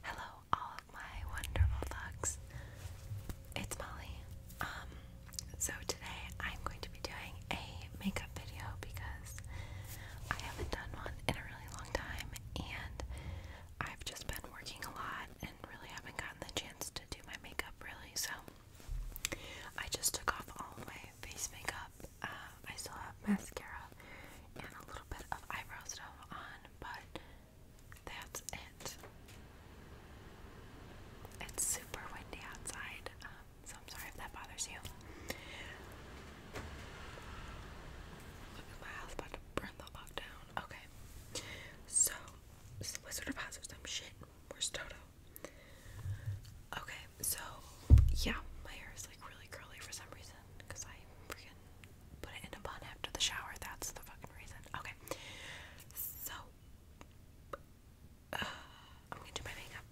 Hello, all of my wonderful thugs. It's Molly. Um, so today I'm going to be doing a makeup video because I haven't done one in a really long time and I've just been working a lot and really haven't gotten the chance to do my makeup really. So I just took off all my face makeup. Uh, I still have mascara and a little it's super windy outside, um, so I'm sorry if that bothers you. Look at my house about to burn the fuck Okay, so Wizard of Oz or some shit. Where's Toto? Okay, so yeah, my hair is like really curly for some reason because I freaking put it in a bun after the shower. That's the fucking reason. Okay. So, uh, I'm gonna do my makeup.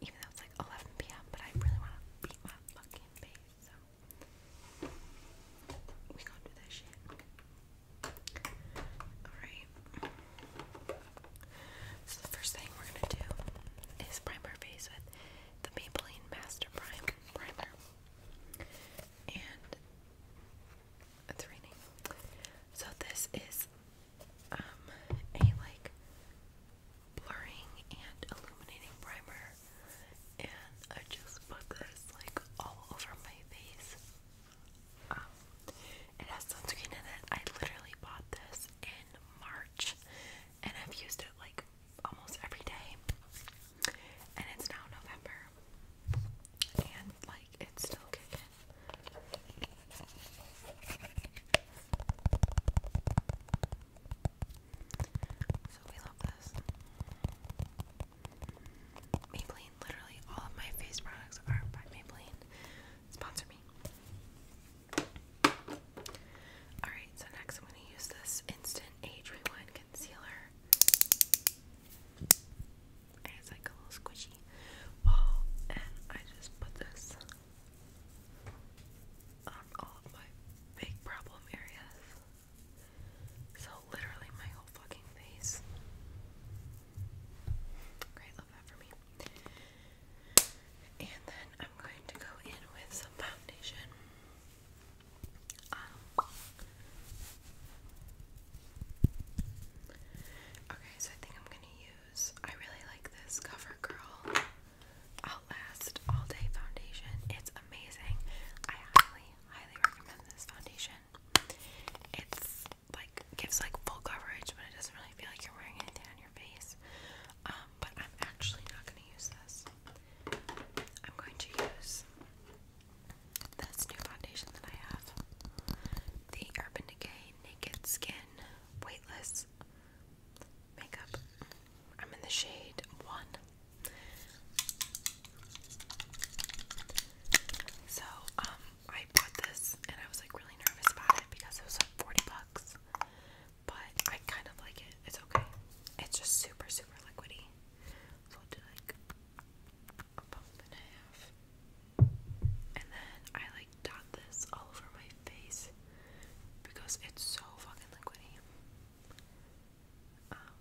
Even though it's like 11 p.m., but I really wanna beat my fucking face. So, we gonna do that shit. Alright. So, the first thing we're gonna do is prime our face the Maybelline Master Prime Primer. And it's raining. So this is um, a like blurring and illuminating primer and I just put this like all over my face. Um, it has sunscreen in it. I literally bought this in March and I've used it like almost every day. And it's now November, and like it's still kicking. So we love this. Maybelline, literally all of my face products are by Maybelline. Sponsor me. Alright, so next I'm going to use this Instant Age Rewind Concealer. it's like a little squishy ball, and I just put this on all of my big problem areas. So, literally, my whole fucking face. Great, love that for me. And then I'm going to go in with some foundation. Um, okay, so I think I'm gonna use. I really like this CoverGirl Outlast All Day Foundation. It's amazing. I highly, highly recommend this foundation. It's like gives like full coverage, but it doesn't really feel like you're wearing anything on your face. Um, but I'm actually not gonna use this. I'm going to use this new foundation that I have the Urban Decay Naked Skin Weightless Makeup. I'm in the shade 1. So, um, I bought this and I was like really nervous about it because it was like 40 bucks but I kind of like it. It's okay. It's just super, super liquidy. So i do like a pump and a half. And then I like dot this all over my face because it's so fucking liquidy. Um,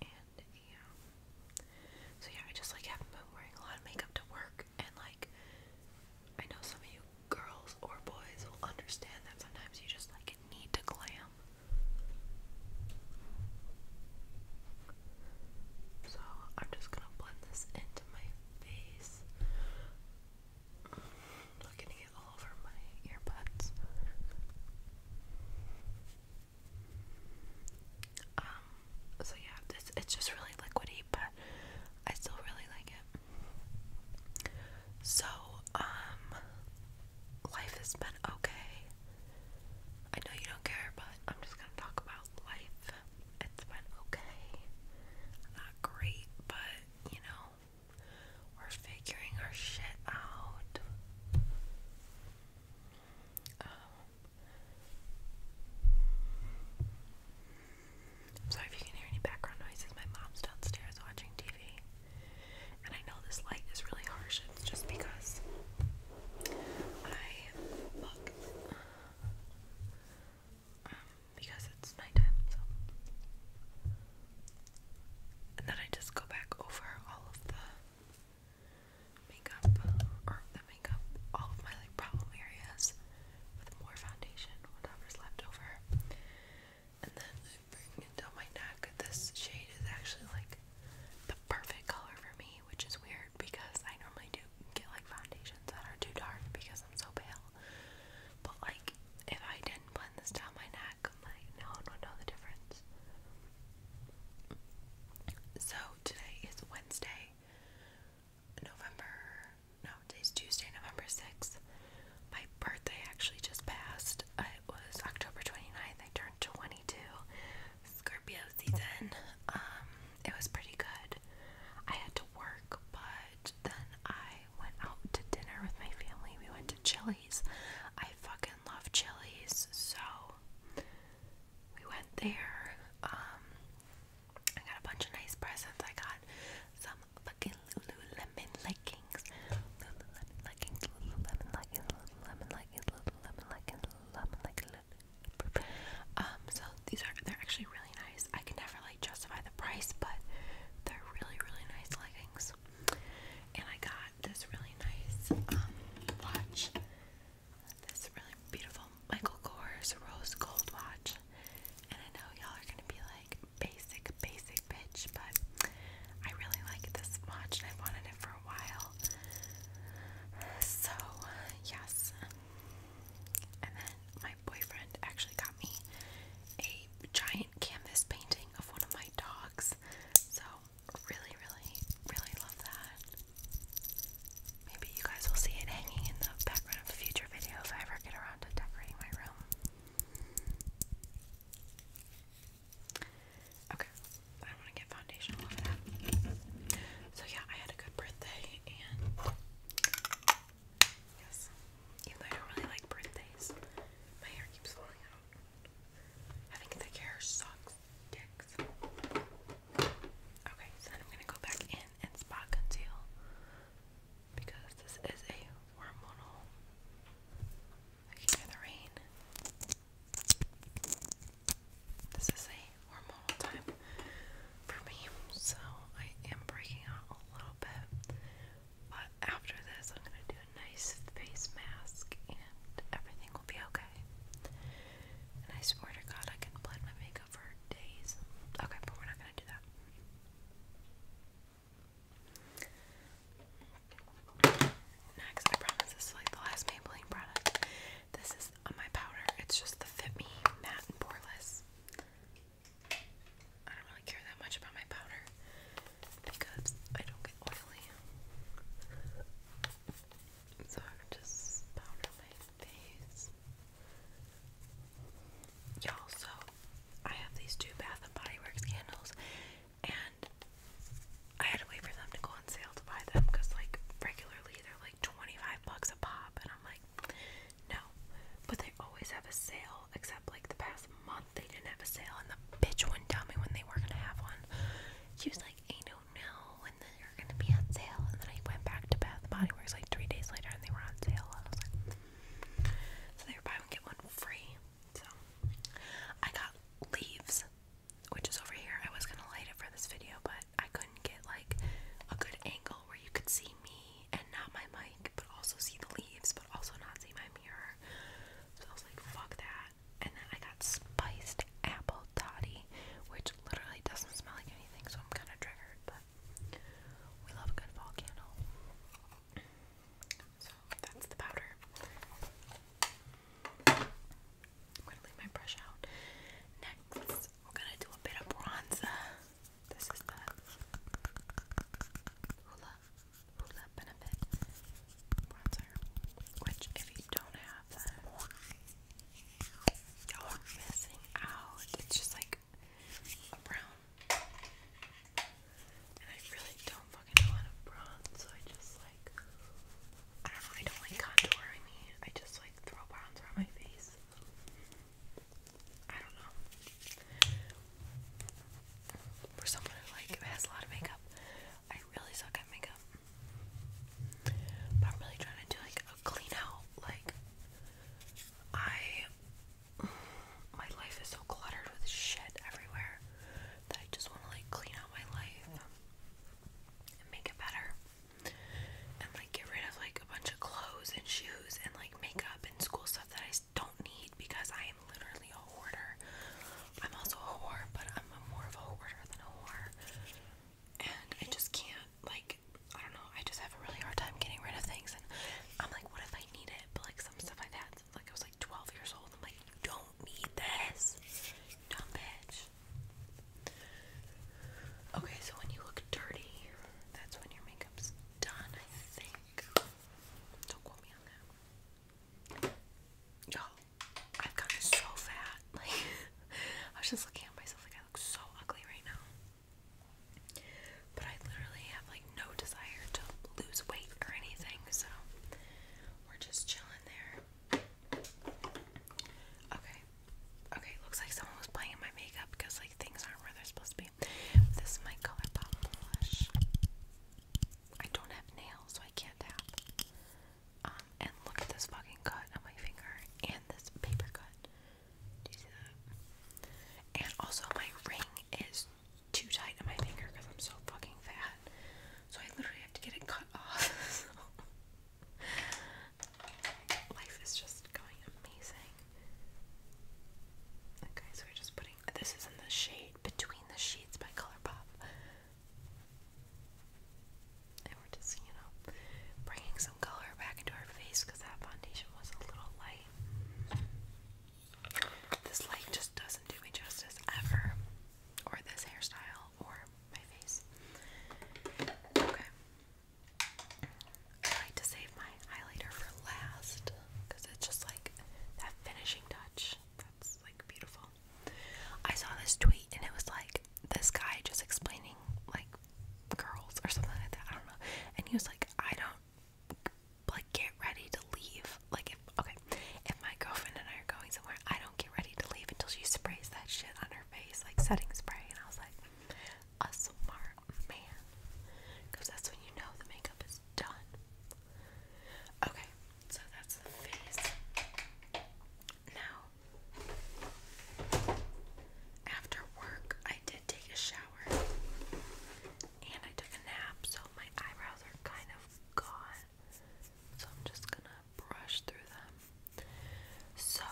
and yeah. So yeah, I just like haven't been wearing a lot of makeup to work and like I know some of you girls or boys will understand that sometimes you just like need to glam. So I'm just gonna blend this into my face. not getting it all over my earbuds. Um, so yeah, this it's just really liquidy, but I still really like it. So, um, life has been okay. I know you don't care, but I'm just gonna talk about life. It's been okay. Not great, but you know, we're figuring our shit out. Um, I'm sorry if you can hear any background noises. My mom's downstairs watching TV. And I know this light is really harsh. It's just because I look. Um, because it's nighttime, so. And then I just go back over all of the makeup, or the makeup, all of my like problem areas with more foundation, whatever's left over and then I bring it down my neck. This shade is actually like the perfect color for me, which is weird because I normally do get like foundations that are too dark because I'm so pale. But like, if I didn't blend this down my neck, I'm like, no one would know the difference. So today is Wednesday, November no, today's Tuesday, November 6th. My birthday actually just passed. It was October 29th. I turned 22. Scorpio season. Um, it was pretty good. I had to work, but then I went out to dinner with my family. We went to Chili's. I fucking love Chili's, so we went there. Um, I got a bunch of nice presents. I got some fucking Lululemon leggings. Lululemon leggings, Lululemon leggings, Lululemon leggings, Lululemon leggings, Lululemon leggings. Um, so these are, they're actually really nice. I can never like justify the price, but they're really, really nice leggings. And I got this really nice, um, watch. This really beautiful Michael Kors rose gold watch. And I know y'all are gonna be like, basic, basic bitch, but I really like this watch and I wanted it for a while. So, yes. And then my boyfriend actually got me a giant canvas painting of one of my dogs. So, really, really, really love that. Maybe you guys will see it hanging in the background of future video if I ever get around to decorating my room. Okay, I don't want to get foundation all over that. So yeah, I had a good birthday, and yes, even though don't really like birthdays, my hair keeps falling out. Having thick hair sucks dicks. Okay, so then I'm gonna go back in and spot conceal because this is a hormonal. I the rain. This is a hormonal time for me, so I am breaking out a little bit. But after this, I'm gonna do a nice face mask, and everything will be okay. And I swear to God, I can blend my makeup for days. Okay, but we're not gonna do that. Next, I promise this is like the last Maybelline product. This is my powder. It's just the Fit Me Matte and Poreless. I don't really care that much about my powder because I don't get oily. So just powder my face. Y'all, so I have these two Bath and Body Works candles, and I had to wait for them to go on sale to buy them because, like, regularly they're like 25 bucks a pop, and I'm like, no. But they always have a sale, except like the past month they didn't have a sale, and the bitch wouldn't tell me when they were gonna have one. She was like, I don't know when they're gonna be on sale, and then I went back to Bath and Body Works like three days later, and they were on sale, and I was like, so they were buy one get one free. So I got leaves, which is over here. I was gonna light it for this video, but I couldn't get like a good angle where you could see me and not my mic, but also see the leaves, but also not see my mirror. So I was like, fuck that. And then I got spiced apple toddy, which literally doesn't smell like anything, so I'm kind of triggered, but we love a good fall candle. That's the powder. I'm gonna leave my brush out. Next, we're gonna do a bit of bronzer. This is the Hoola Hoola Benefit bronzer, which if you don't have that, you're missing out. It's just like a brown and I really don't fucking know how to so I just like I don't know, don't like contouring I just like throw bronzer around my face. I don't know. For someone who has a lot of makeup, I really suck at makeup. But I'm really trying to do like a clean out. Like I my life is so cluttered with shit everywhere that I just want to like clean out my life and make it better and like get rid of like a bunch of clothes and shoes and like makeup and school stuff that I don't need because I am literally a hoarder. I'm also a hoarder, but I'm more of a hoarder than a hoarder, And I just can't like I don't know, I just have a really hard time getting rid of things and I'm like, what if I need it? But like some stuff I've had like I was like. 12 years old. I'm like, you don't need this. Dumb bitch. Okay, so when you look dirty, that's when your makeup's done, I think. Don't quote me on that. Y'all, I've gotten so fat. Like, I was just looking at myself like I look so ugly right now but I literally have like no desire to lose weight or anything, so we're just chilling there. Okay. Okay, looks like someone was playing in my makeup because like things aren't where they're supposed to be. This is my ColourPop blush. I don't have nails, so I can't tap. Um, and look at this fucking cut on my finger and this paper cut. Do you see that? And also my ring is too tight on my finger because I'm so fucking fat. So I literally have to get it cut off. life is just going amazing. Okay, so we're just putting this is in the shade Between the Sheets by Colourpop. And we're just, you know, bringing some color back into our face because that foundation was a little light. This light just doesn't do me justice ever. Or this hairstyle, or my face. Okay. I like to save my highlighter for last because it's just like that finishing touch that's like beautiful. I saw this tweet and it was like this guy just explaining like girls or something like that. I don't know. And he was like, I don't like get ready to leave. Like if okay, if my girlfriend and I are going somewhere, I don't get ready to leave until she sprays that shit on her face, like setting spray. And I was like, a smart man, because that's when you know the makeup is done. Okay, so that's the face. Now, after work, I did take a shower. And I took a nap, so my eyebrows are kind of gone. So I'm just gonna brush through them. So,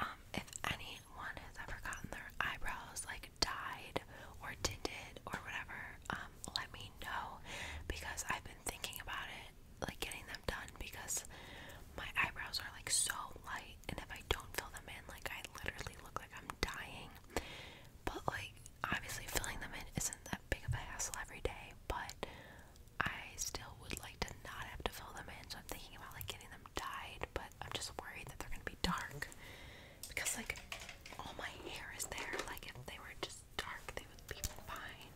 um, if anyone has ever gotten their eyebrows like dyed or tinted or whatever, um, let me know because I've been thinking about it, like getting them done because my eyebrows are like so light, and if I don't fill them in, like I literally look like I'm dying. But like obviously filling them in isn't that big of a hassle every day, but I still would like to not have to fill them in, so I'm thinking about like getting them dyed, but I'm just worried that they're gonna be dark because like all my hair is there, like if they were just dark they would be fine.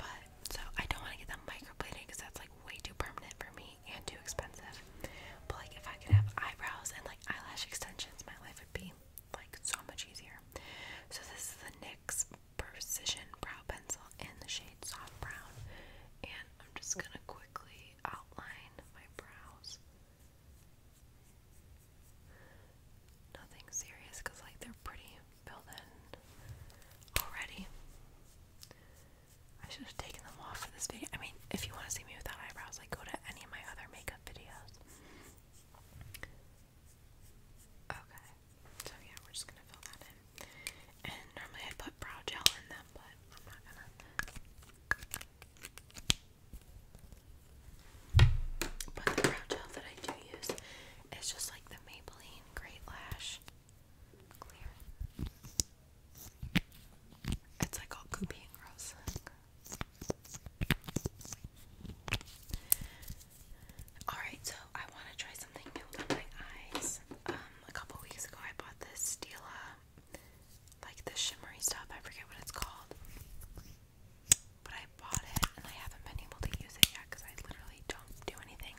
But so I don't want to get them microblading because that's like way too permanent for me and too expensive. But like if I could have eyebrows and like eyelash extensions, my life be like so much easier. So this is the NYX Precision Brow Pencil in the shade Soft Brown. And I'm just gonna quickly outline my brows. Nothing serious like they're pretty filled in already. I should have taken them off for this video. I mean, if you want to see me without eyebrows, like go to any of my other makeup makeup videos. Okay, so yeah, we're just gonna fill that in. And normally I'd put brow gel in them, but I'm not gonna. But the brow gel that I do use is just like the Maybelline Great Lash Clear. It's like all goopy and gross. Alright, so I want to try something new with my eyes. Um, a couple weeks ago I bought this Stila, like the shimmery stuff, I forget what it's called. But I bought it and I haven't been able to use it yet because I literally don't do anything.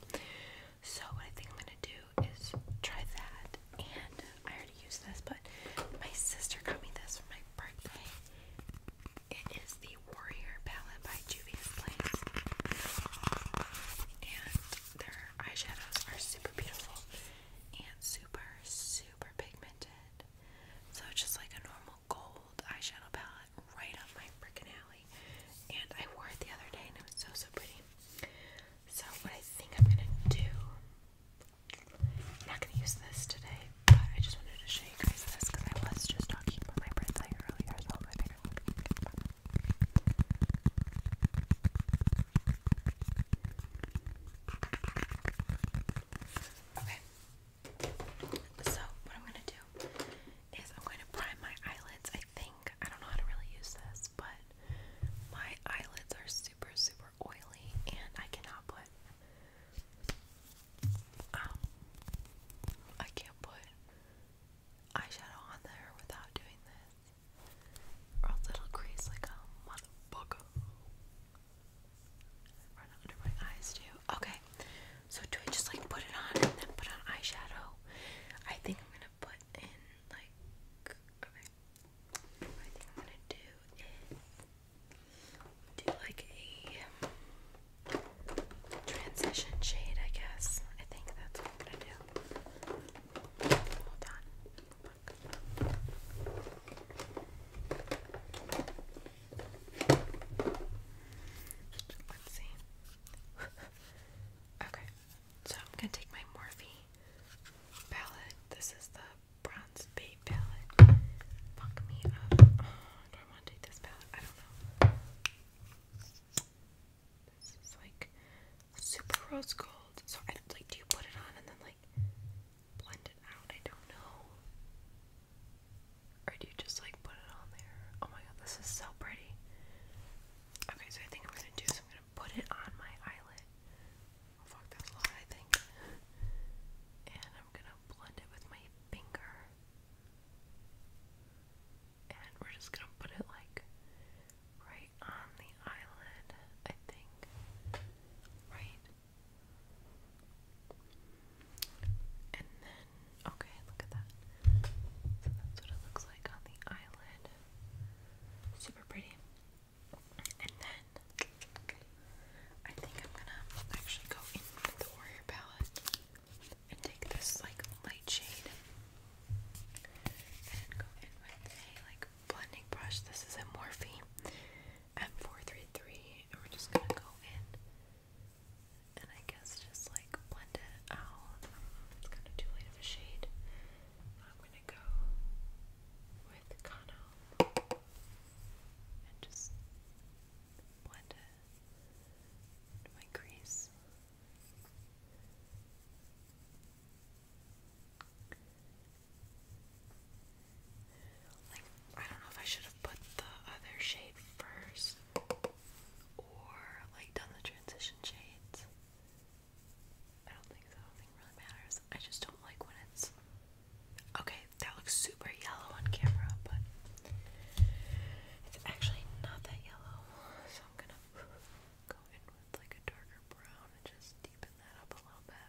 So what I think I'm going to do is try that and I to use this, but my sister got me this for my birthday. It is the Warrior Palette by Juvia's And their eyeshadows are super beautiful and super, super pigmented. So just like a normal gold eyeshadow palette right up my frickin' alley. And I wore it the other day and it was so, so pretty. So what I think I'm gonna do I'm not going to use this today, but I just wanted to show you guys this because I was just talking about my bread earlier as well. I think Okay. So, what I'm going to do is I'm going to prime my eyelids. I think, I don't know how to really use this, but my eyelids are super, super oily and I cannot put I can't put eyeshadow on there without doing this, or it'll crease like a motherfucker. Run under my eyes too. Okay, so do I just like put it on and then put on eyeshadow? I think I'm gonna put in like okay. I think I'm gonna do is do like a transition shade, I guess. I think that's what I'm gonna do. Hold on. okay, so I'm gonna take my Morphe palette. This is the bronze bait palette. Fuck me up. Oh, do this palette? I don't know. This is like super rose gold. So I like do you put it on and then like blend it out? I don't know. Or do you just like put it on there? Oh my god, this is so pretty. Okay, so I think I'm gonna do is I'm gonna put it on my eyelid. Oh fuck, that was loud, I think. And I'm gonna blend it with my finger. And we're just gonna put it like right on the eyelid, I think. Right? And then, okay, look at that. So that's what it looks like on the eyelid. Super pretty. And then I think I'm gonna actually go in the Warrior palette and take this like light shade and go in with a like blending brush. This is a Morphe M433 and we're just gonna go in and I guess just like blend it out. It's kind of too light shade. I'm gonna go with Kana and just blend it into my crease. Like, I don't know if I should have put the other shade first or like done the transition shades. I don't think so. I really matters. I just don't like when it's Okay, that looks super yellow on camera, but it's actually not that yellow. So I'm gonna go in with like a darker brown and just deepen that up a little bit.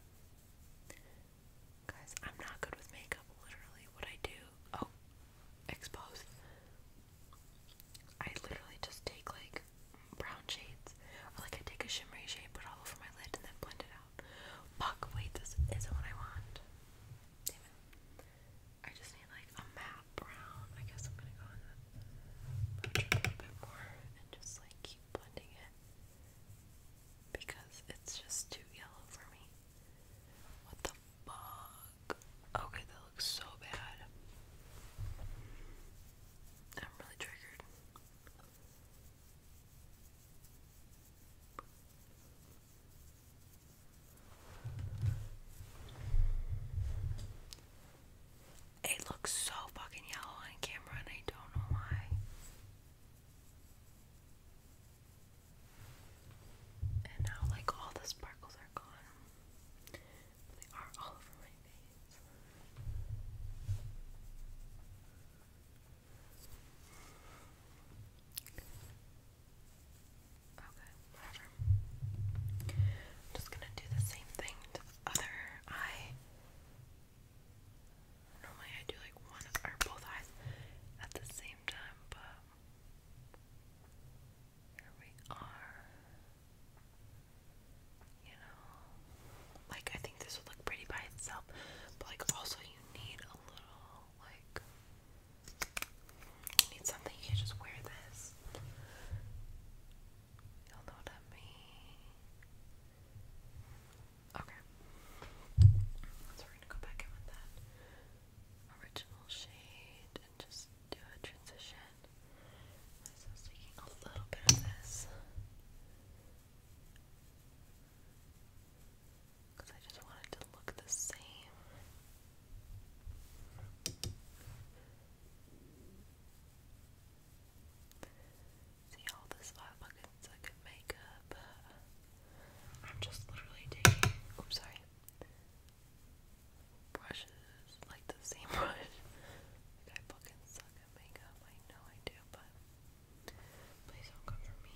Guys, I'm not good with makeup, literally. What I do. Oh, expose. I literally just take like brown shades, like I take a shimmery shade, put it all over my lid, and then blend it out. Fuck, wait, this isn't what I want. I just need like a map brown. I guess I'm gonna go in a bit more and just like keep blending it because it's just too yellow for me. What the fuck? Okay, that looks so bad. I'm really triggered. It looks so fucking yellow on camera, and I don't know why. And now, like, all the sparkles are gone. They are all over my face. Okay, whatever. I'm just gonna do the same thing to the other eye. Normally I do like one or both eyes at the same time, but here we are. You know, like I think this would look pretty by itself, but like also, you you need a little, like, need something, you can just wear this. You'll know what I mean. Okay. So we're gonna go back in with that original shade and just do a transition. So taking a little bit of this. Because I just want to look the same. See all this five buckets I'm just literally taking. Oops, sorry. Brushes, like the same brush. like I fucking suck at makeup. I know I do, but Please don't come for me.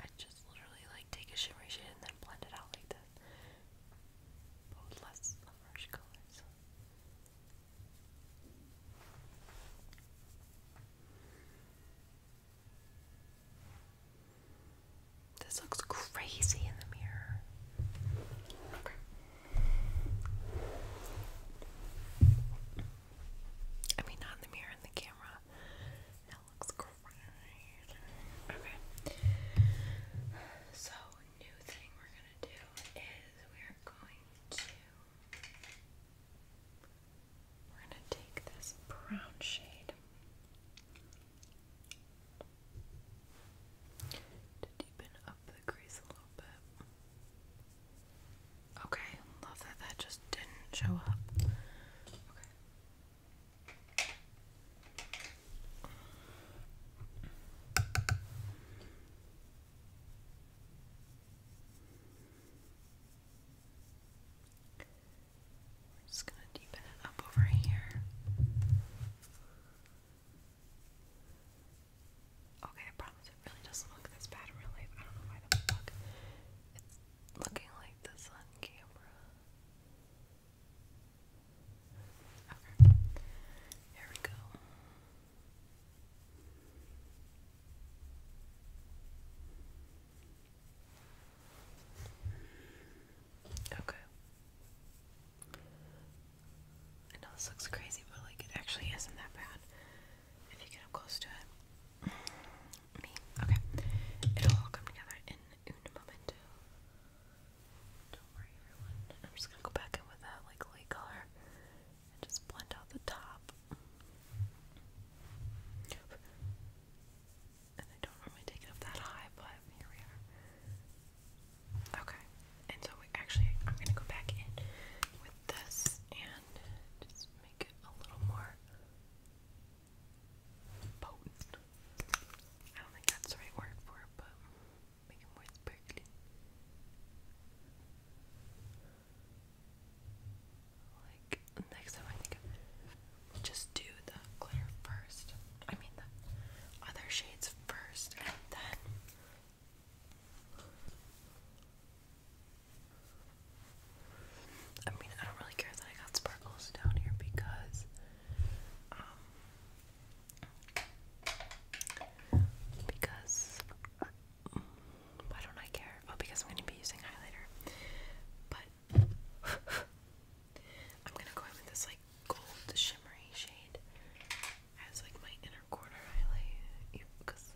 I just literally like take a shimmery shade and then blend it out like this. But less harsh colors. This looks crazy in the mirror. I mean, not in the mirror, in the camera. That looks great. Okay. So, new thing we're gonna do is we're going to we're gonna take this brown shade to deepen up the crease a little bit. Okay, love that that just didn't show up. We're just going to deepen it up over here. Okay, I promise it really doesn't look this bad in real life. I don't know why the fuck it's looking like this on camera. Okay. Here we go. Okay. I know this looks crazy, but like it actually isn't that bad if you get up close to it. Me. Okay. It'll all come together in un momento. Don't worry, everyone. I'm just gonna go back in with that like light color and just blend out the top. And I don't normally take it up that high, but here we are. Okay and so actually I'm gonna go back in with this and just make it a little more potent. I don't think that's the right word for it, but make it more sparkly. Like next time, I think i just do the glitter first. I mean the other shades first, and then I mean, I don't really care that I got sparkles down here because, um, because, uh, don't I care? Oh, because I'm going to be using highlighter. But, I'm going to go in with this, like, gold shimmery shade as like my inner corner highlight because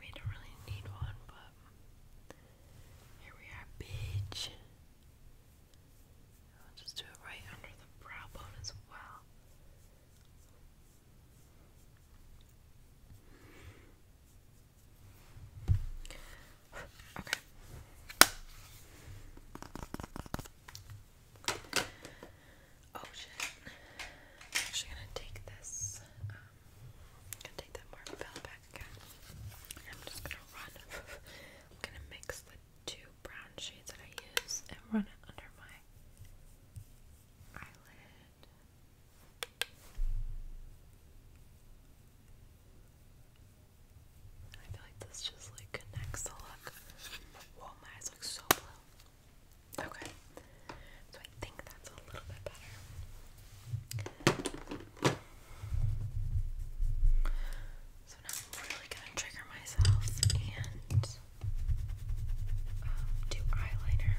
we don't really need one, but here we are, bitch. just do it right under the brow bone as well. Okay. Oh shit. I'm actually gonna take this. Um, gonna take that marble bell back again. I'm just gonna run. gonna mix the two brown shades that I use and run it under my eyelid. I feel like this just like connects the look. Whoa, my eyes look so blue. Okay. So I think that's a little bit better. So now I'm really gonna trigger myself and um, do eyeliner,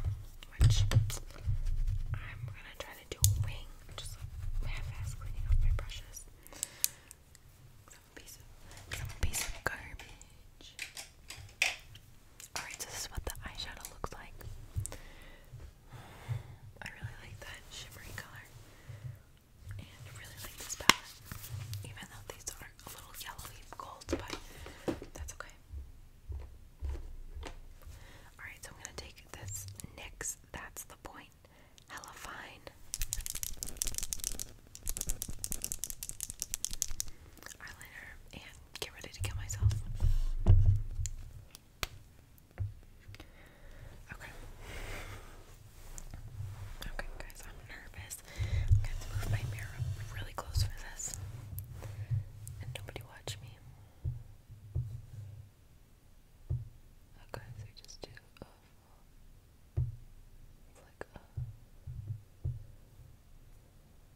which I'm gonna try to do wing, just like cleaning off my brushes. some piece of garbage. Alright, so this is what the eyeshadow looks like. I really like that shimmery color. And really like this palette. Even though these are a little yellowy gold, but that's okay. Alright, so I'm gonna take this NYX, that's the point. Hella fine. Eyeliner and get ready to kill myself. Okay. Okay, guys, I'm nervous. i move my mirror really close for this. And nobody watch me. Okay, so just do a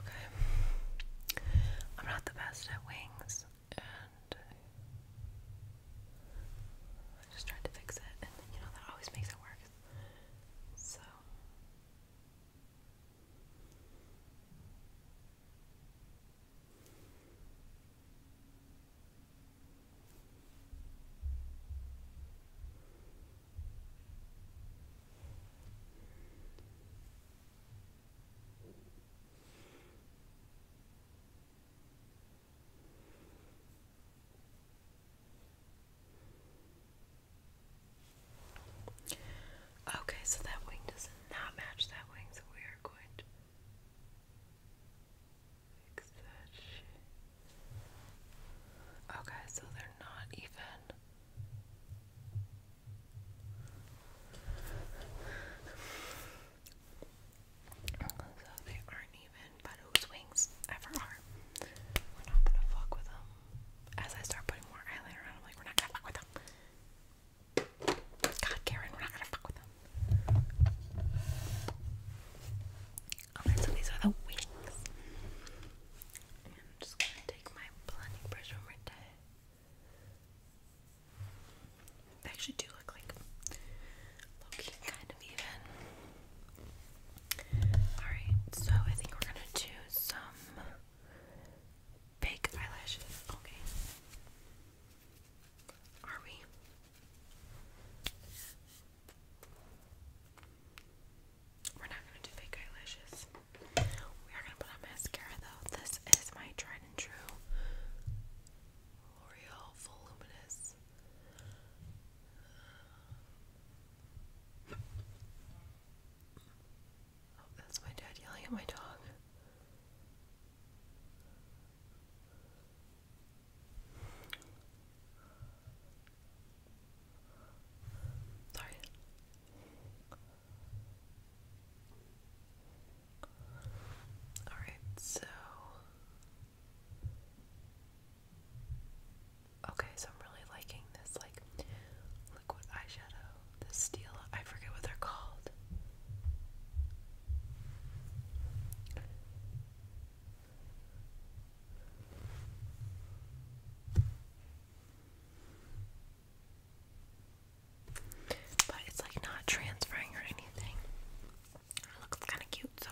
Okay. I'm not the best at wings, and I just tried to fix it, and you know, that always makes it worse. So. Okay, so that wing does not match that wing, so we are going to fix that Okay, so they're not even. So they aren't even, but whose wings ever are. We're not gonna fuck with them. As I start putting more eyeliner on, I'm like, we're not gonna fuck with them. God, Karen, we're not gonna fuck with them. so these are the wings. I'm just gonna take my blending brush over to they actually do look like low kind of even. Alright, so I think we're gonna do some big eyelashes. Okay. Are we? We're not gonna do fake eyelashes. We are gonna put on mascara though. This is my tried and true L'Oreal Voluminous. Oh, that's my dad yelling at my dog. Sorry. Alright, so. Okay, so I'm really liking this, like, liquid eyeshadow. The steel, I forget what they're called. But it's like not transferring or anything. It looks kind of cute, so.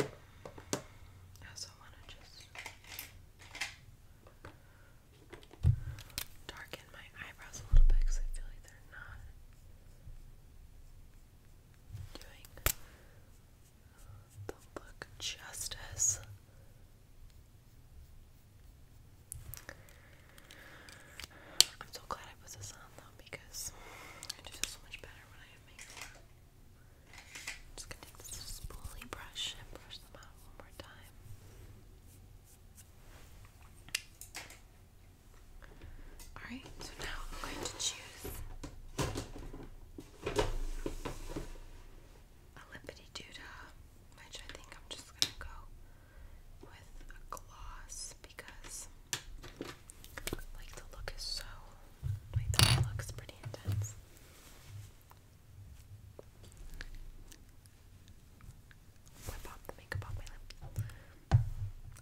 I also want to just darken my eyebrows a little bit because I feel like they're not doing they look just I'm so glad I put this on though because I do feel so much better when I have makeup. I'm just gonna take this spoolie brush and brush them out one more time. Alright, so now I'm going to choose a lippity doodah, which I think I'm just gonna go with a gloss because like the look is so like the looks pretty intense. Whip off the makeup off my lip.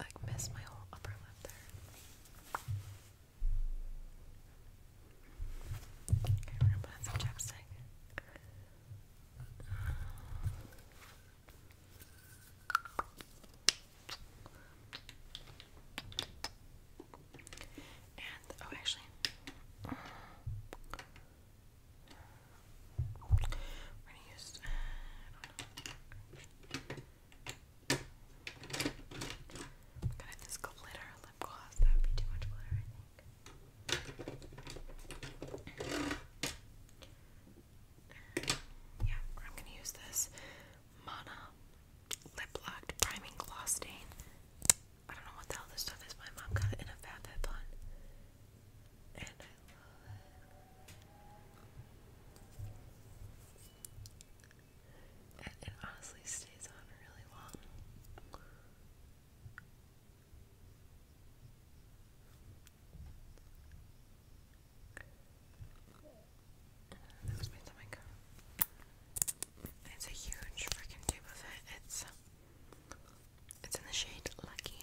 I miss my whole upper lip there. Okay, we're gonna put on some chapstick. And oh, actually, we're gonna use. Kind of this glitter lip gloss. That would be too much glitter, I think. Yeah, I'm gonna use this Mana Lip Locked Priming Gloss Stain. I don't know what the hell this stuff is. My mom got it in a Fat Fit And I love it it honestly stays on really long. It's a huge freaking tube of it. It's it's in the shade Lucky.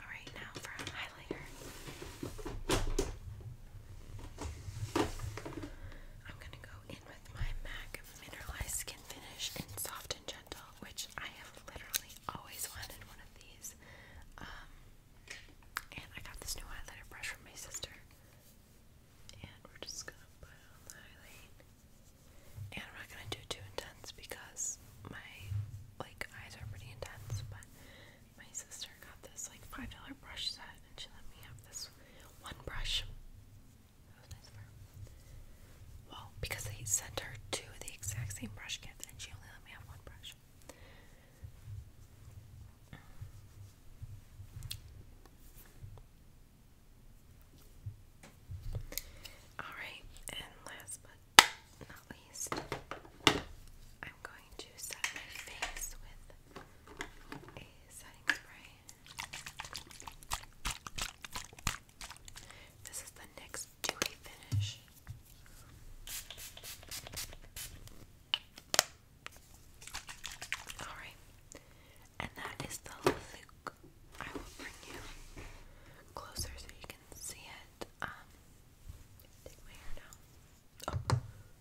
Alright, now for a highlighter. I'm gonna go in with my MAC Mineralized Skin Finish in Soft and Gentle, which I have literally always wanted one of these. Um, and I got this new highlighter brush from my sister. And we're just gonna put on the highlight. And I'm not gonna do too intense because my like eyes are pretty intense, but my sister got this like five dollar brush set and she let me have this one brush. That was nice of her. Well, because they sent her two of the exact same brush kits and she only let me have one brush. Alright, and last but not least, I'm going to set my face with this is the NYX Dewy Finish. Alright, and that is the Luke. I will bring you closer so you can see it. Um, take my hair down. Oh,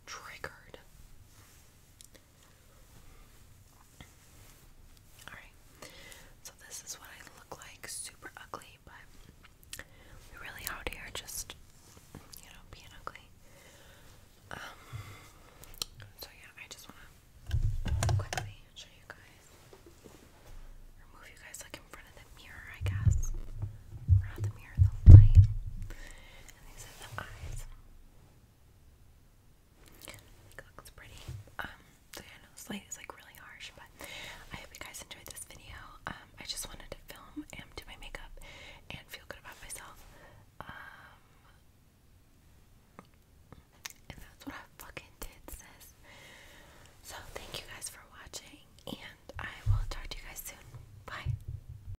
triggered. Alright, so this is what I look like. Super ugly, but we really out here just, you know, being ugly. Um, so yeah, I just want to quickly show you guys, or move you guys like in front of the mirror, I guess. Or not the mirror, the light. And these are the eyes. It looks pretty. Um, so yeah, I light is like really harsh, but I hope you guys enjoyed this video. Um, I just wanted to film and do my makeup and feel good about myself. Um, and that's what I fucking did, sis. So thank you guys for watching, and I will talk to you guys soon. Bye.